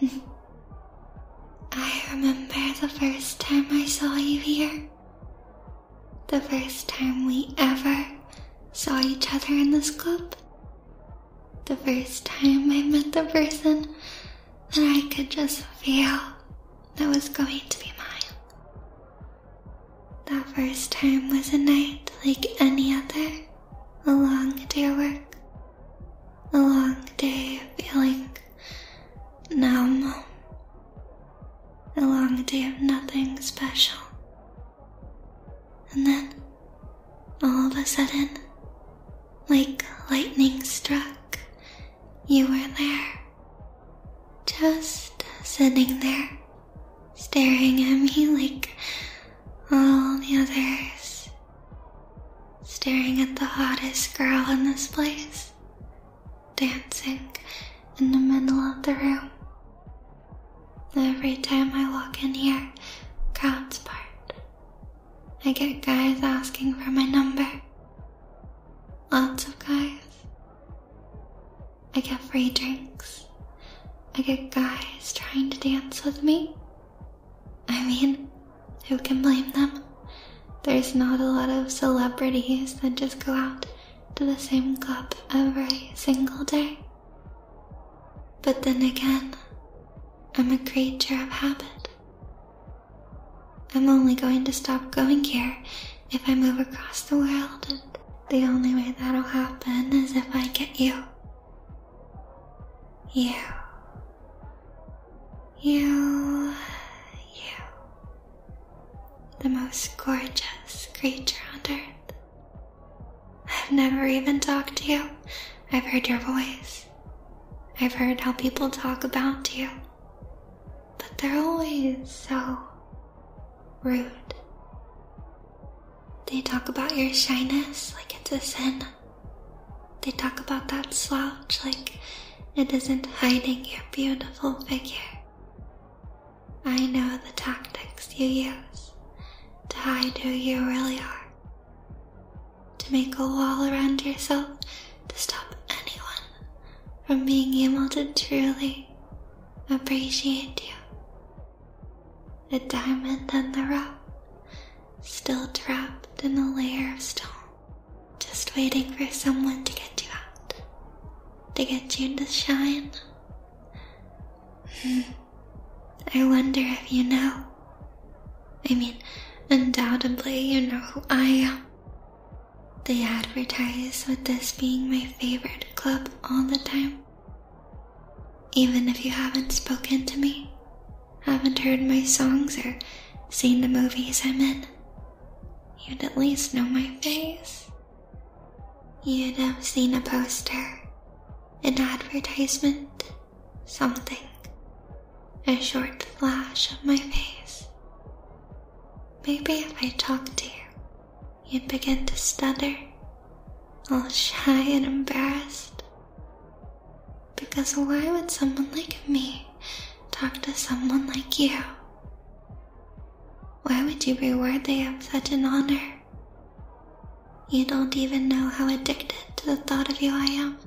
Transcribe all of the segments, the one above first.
I remember the first time I saw you here. The first time we ever saw each other in this club. The first time I met the person that I could just feel that was going to be mine. That first time was a night like any other, a long day work, a long day of feeling numb. A long day of nothing special. And then, all of a sudden, like lightning struck, you were there. Just sitting there, staring at me like all the others, staring at the hottest girl in this place, dancing in the middle of the room. Every time I walk in here, crowds part. I get guys asking for my number. Lots of guys. I get free drinks. I get guys trying to dance with me. I mean, who can blame them? There's not a lot of celebrities that just go out to the same club every single day. But then again, I'm a creature of habit. I'm only going to stop going here if I move across the world, and the only way that'll happen is if I get you. You, you, you, the most gorgeous creature on earth. I've never even talked to you. I've heard your voice. I've heard how people talk about you. But they're always so rude. They talk about your shyness like it's a sin. They talk about that slouch like it isn't hiding your beautiful figure. I know the tactics you use to hide who you really are, to make a wall around yourself to stop anyone from being able to truly appreciate you. A diamond in the rough, still trapped in a layer of stone, just waiting for someone to get you out, to get you to shine. Hmm. I wonder if you know. I mean, undoubtedly you know who I am. They advertise with this being my favorite club all the time. Even if you haven't spoken to me, haven't heard my songs, or seen the movies I'm in, you'd at least know my face. You'd have seen a poster, an advertisement, something, a short flash of my face. Maybe if I talked to you, you begin to stutter, all shy and embarrassed. Because why would someone like me talk to someone like you? Why would you be worthy of such an honor? You don't even know how addicted to the thought of you I am.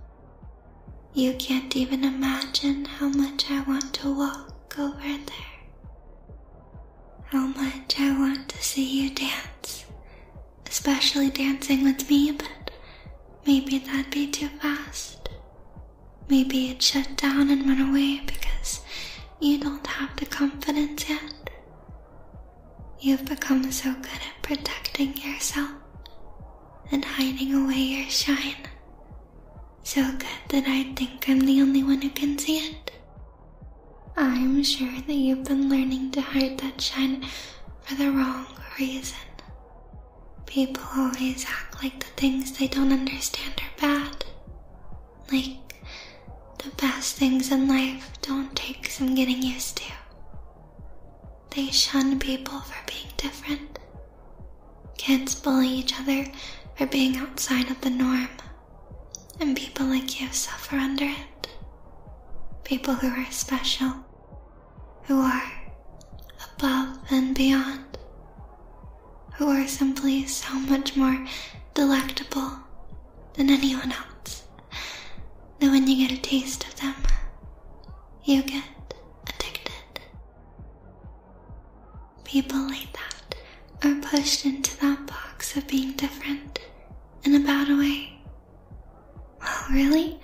You can't even imagine how much I want to walk over there how much I want to see you dance, especially dancing with me, but maybe that'd be too fast. Maybe it'd shut down and run away because you don't have the confidence yet. You've become so good at protecting yourself and hiding away your shine. So good that I think I'm the only one who can see it. I'm sure that you've been learning to hide that shine for the wrong reason. People always act like the things they don't understand are bad. Like, the best things in life don't take some getting used to. They shun people for being different. Kids bully each other for being outside of the norm and people like you suffer under it. People who are special, who are above and beyond, who are simply so much more delectable than anyone else. That when you get a taste of them, you get addicted. People like that are pushed into that box of being different in a bad way. Well, really,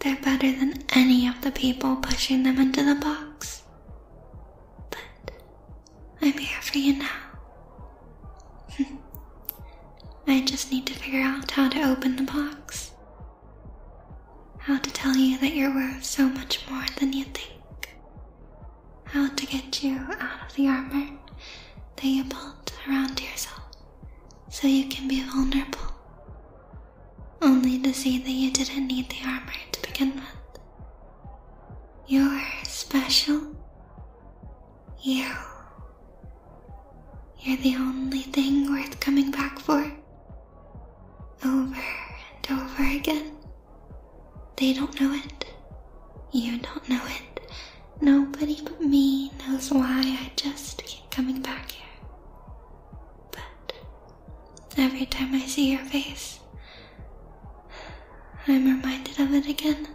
they're better than any of the people pushing them into the box. But I'm here for you now. I just need to figure out how to open the box. How to tell you that you're worth so much more than you think how to get you out of the armor that you built around yourself so you can be vulnerable. Only to see that you didn't need the armor to begin with. You're special. You. You're the only thing worth coming back for. Over and over again. They don't know it. You don't know it. Nobody but me knows why I just keep coming back here. But every time I see your face, I'm reminded of it again.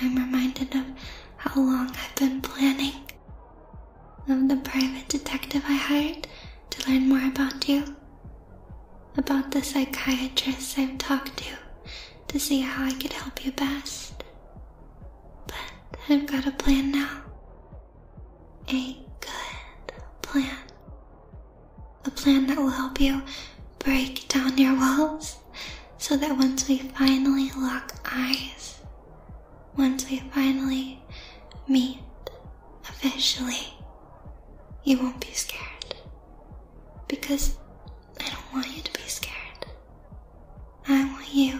I'm reminded of how long I've been planning, of the private detective I hired to learn more about you, about the psychiatrists I've talked to to see how I could help you best. But I've got a plan now. A good plan. A plan that will help you break down your walls so that once we finally lock eyes, once we finally meet officially, you won't be scared. Because I don't want you to be scared. I want you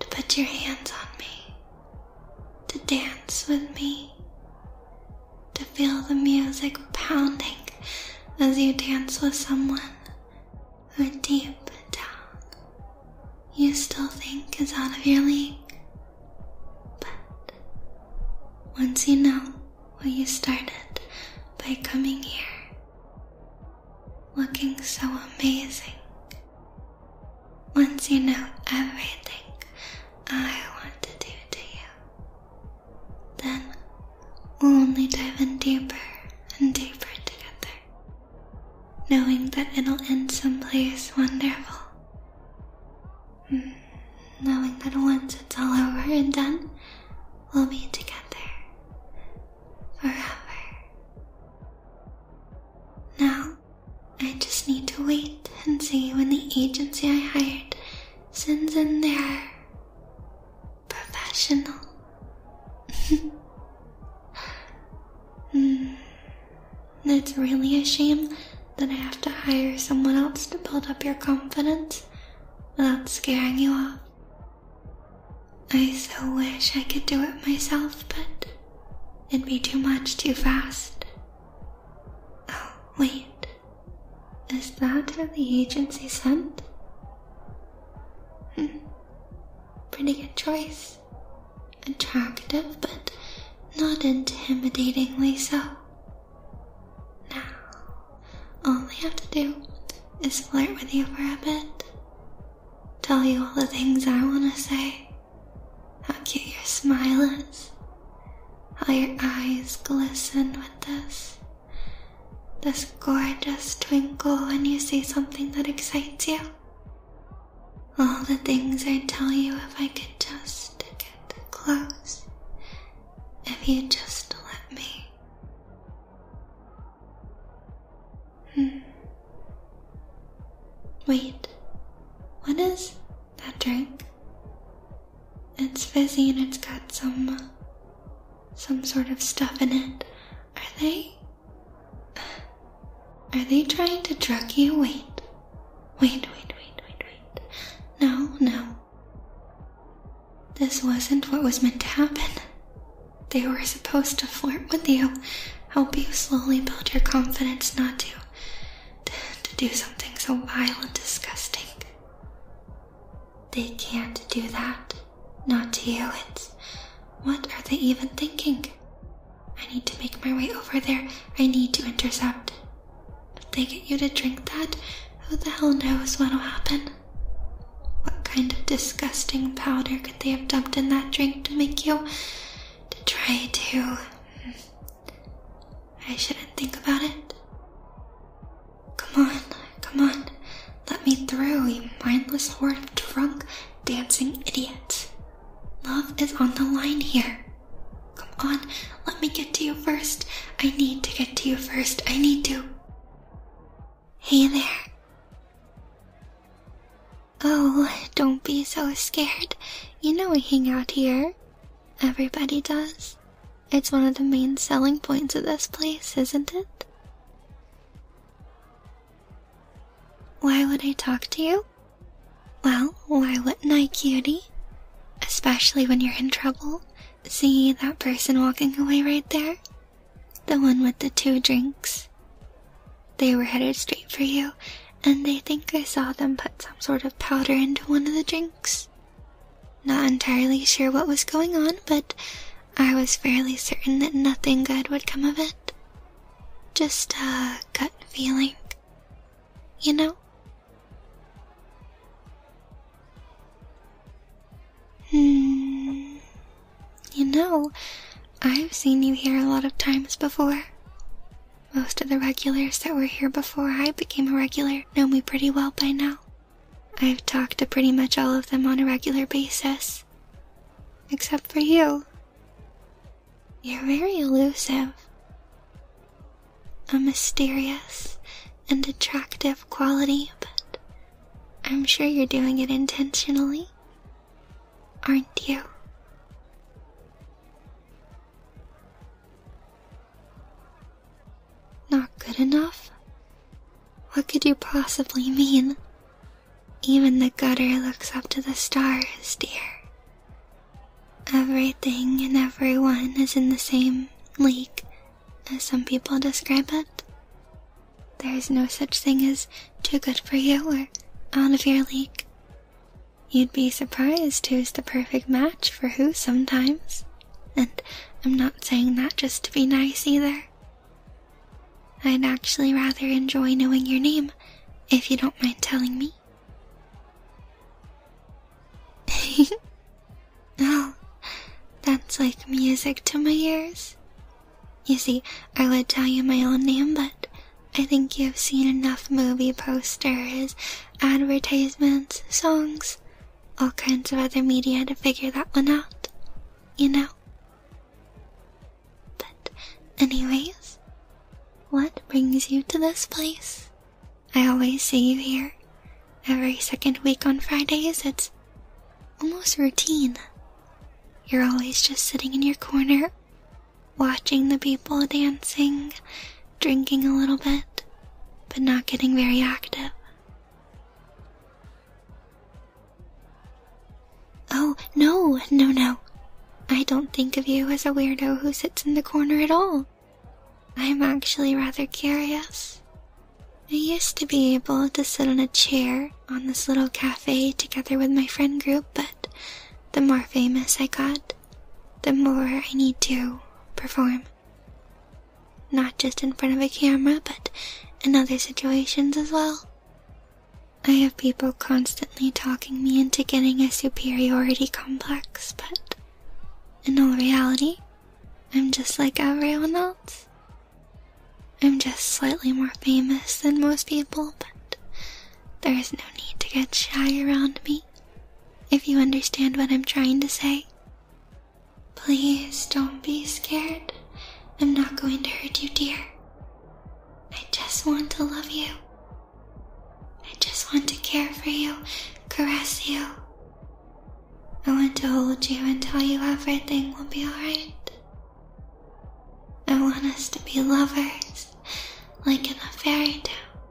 to put your hands on me, to dance with me, to feel the music pounding as you dance with someone who deep down you still think is out of your league. But once you know where you started by coming here, looking so amazing. Once you know everything I want to do to you, then we'll only dive in deeper and deeper together, knowing that it'll end someplace wonderful. Mm, knowing that once it's all over and done, we'll be together forever. Now, I just need to wait and see when the agency I hired sends in their professional. mm, it's really a shame that I have to hire someone else to build up your confidence without scaring you off. I so wish I could do it myself, but it'd be too much too fast. Oh, wait. Is that who the agency sent? Hmm. Pretty good choice. Attractive, but not intimidatingly so. Now, all I have to do is flirt with you for a bit. Tell you all the things I want to say. How cute your smile is. How your eyes glisten with this. This gorgeous twinkle when you see something that excites you. All the things I'd tell you if I could just get close if you just let me. Hmm. Wait, what is that drink? It's fizzy and it's got some. some sort of stuff in it. Are they. Are they trying to drug you? Wait, Wait, wait, wait, wait, wait. No, no. This wasn't what was meant to happen. They were supposed to flirt with you, help you slowly build your confidence not to, to, do something so vile and disgusting. They can't do that. Not to you. It's. What are they even thinking? I need to make my way over there. I need to intercept. If they get you to drink that, who the hell knows what'll happen? What kind of disgusting powder could they have dumped in that drink to make you to try to? Hmm. I shouldn't think about it. Come on, come on. Let me through, you mindless horde of drunk, dancing idiots. Love is on the line here. Come on, let me get to you first. I need to get to you first. I need to. Hey there. Oh, don't be so scared. You know we hang out here. Everybody does. It's one of the main selling points of this place, isn't it? Why would I talk to you? Well, why wouldn't I, cutie? Especially when you're in trouble. See that person walking away right there? The one with the two drinks. They were headed straight for you, and they think I saw them put some sort of powder into one of the drinks. Not entirely sure what was going on, but I was fairly certain that nothing good would come of it. Just a gut feeling. You know? Hmm. You know, I've seen you here a lot of times before. Most of the regulars that were here before I became a regular know me pretty well by now. I've talked to pretty much all of them on a regular basis. Except for you, you're very elusive. A mysterious and attractive quality, but I'm sure you're doing it intentionally, aren't you? Not good enough? What could you possibly mean? Even the gutter looks up to the stars, dear. Everything and everyone is in the same league, as some people describe it. There is no such thing as too good for you or out of your league. You'd be surprised who's the perfect match for who sometimes. And I'm not saying that just to be nice either. I'd actually rather enjoy knowing your name, if you don't mind telling me. oh, that's like music to my ears. You see, I would tell you my own name, but I think you've seen enough movie posters, advertisements, songs, all kinds of other media to figure that one out. You know? But, anyways, what brings you to this place? I always see you here. Every second week on Fridays, it's almost routine. You're always just sitting in your corner, watching the people dancing, drinking a little bit, but not getting very active. Oh, no, no, no. I don't think of you as a weirdo who sits in the corner at all. I am actually rather curious. I used to be able to sit on a chair on this little cafe together with my friend group, but the more famous I got, the more I need to perform. Not just in front of a camera, but in other situations as well. I have people constantly talking me into getting a superiority complex, but in all reality, I'm just like everyone else. I'm just slightly more famous than most people, but there is no need to get shy around me, if you understand what I'm trying to say. Please don't be scared. I'm not going to hurt you, dear. I just want to love you. I just want to care for you, caress you. I want to hold you and tell you everything will be alright. I want us to be lovers, like in a fairy tale.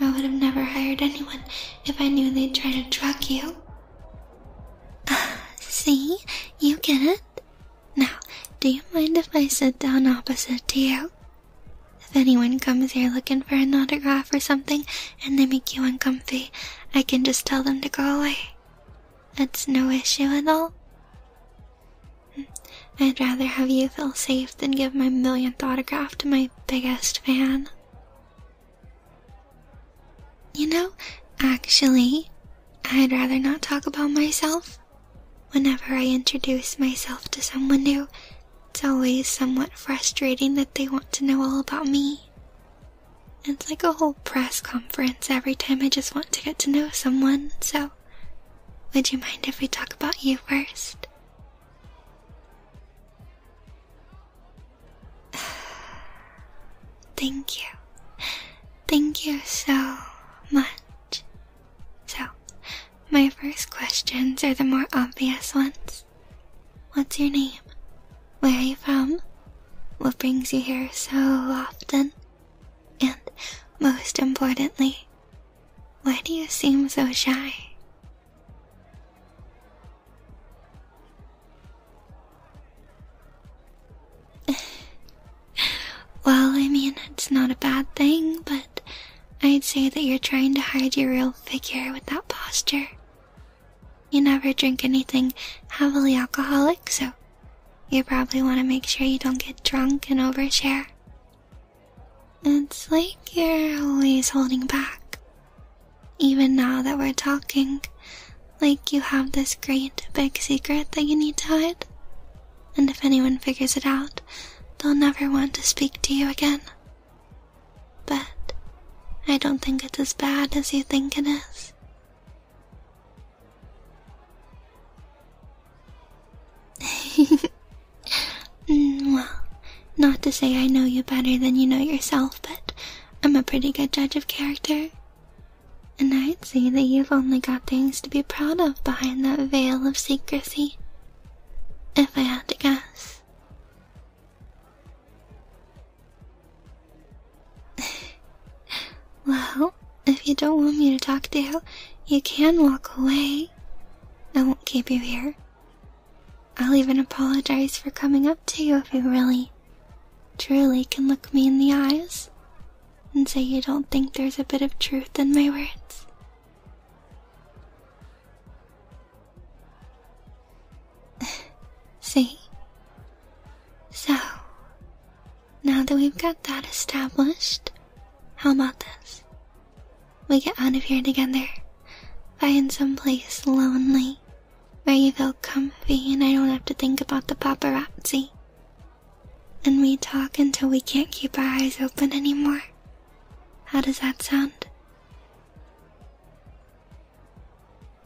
I would have never hired anyone if I knew they'd try to drug you. see? You get it? Now, do you mind if I sit down opposite to you? If anyone comes here looking for an autograph or something and they make you uncomfortable, I can just tell them to go away. That's no issue at all. Hmm, I'd rather have you feel safe than give my millionth autograph to my biggest fan. You know, actually, I'd rather not talk about myself. Whenever I introduce myself to someone new, it's always somewhat frustrating that they want to know all about me. It's like a whole press conference every time I just want to get to know someone, so would you mind if we talk about you first? Thank you. Thank you so much. So, my first questions are the more obvious ones. What's your name? Where are you from? What brings you here so often? And most importantly, why do you seem so shy? well, I mean, it's not a bad thing, but I'd say that you're trying to hide your real figure with that posture. You never drink anything heavily alcoholic, so you probably want to make sure you don't get drunk and overshare. It's like you're always holding back. Even now that we're talking, like you have this great big secret that you need to hide? And if anyone figures it out, they'll never want to speak to you again. But I don't think it's as bad as you think it is. Mm, well, not to say I know you better than you know yourself, but I'm a pretty good judge of character. And I'd say that you've only got things to be proud of behind that veil of secrecy, if I had to guess. well, if you don't want me to talk to you, you can walk away. I won't keep you here. I'll even apologize for coming up to you if you really truly can look me in the eyes and say you don't think there's a bit of truth in my words. See? So, now that we've got that established, how about this? We get out of here together. Find some place lonely where you feel comfy and I don't have to think about the paparazzi. And we talk until we can't keep our eyes open anymore. How does that sound?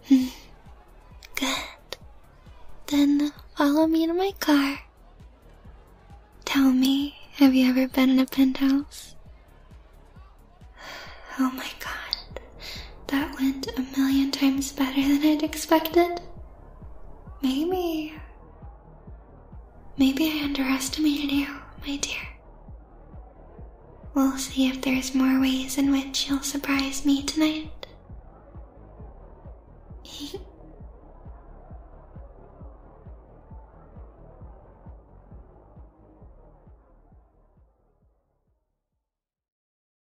Hmm. Good. Then follow me to my car. Tell me, have you ever been in a penthouse? Oh my god. That went a million times better than I'd expected. Maybe. Maybe I underestimated you, my dear. We'll see if there's more ways in which you'll surprise me tonight.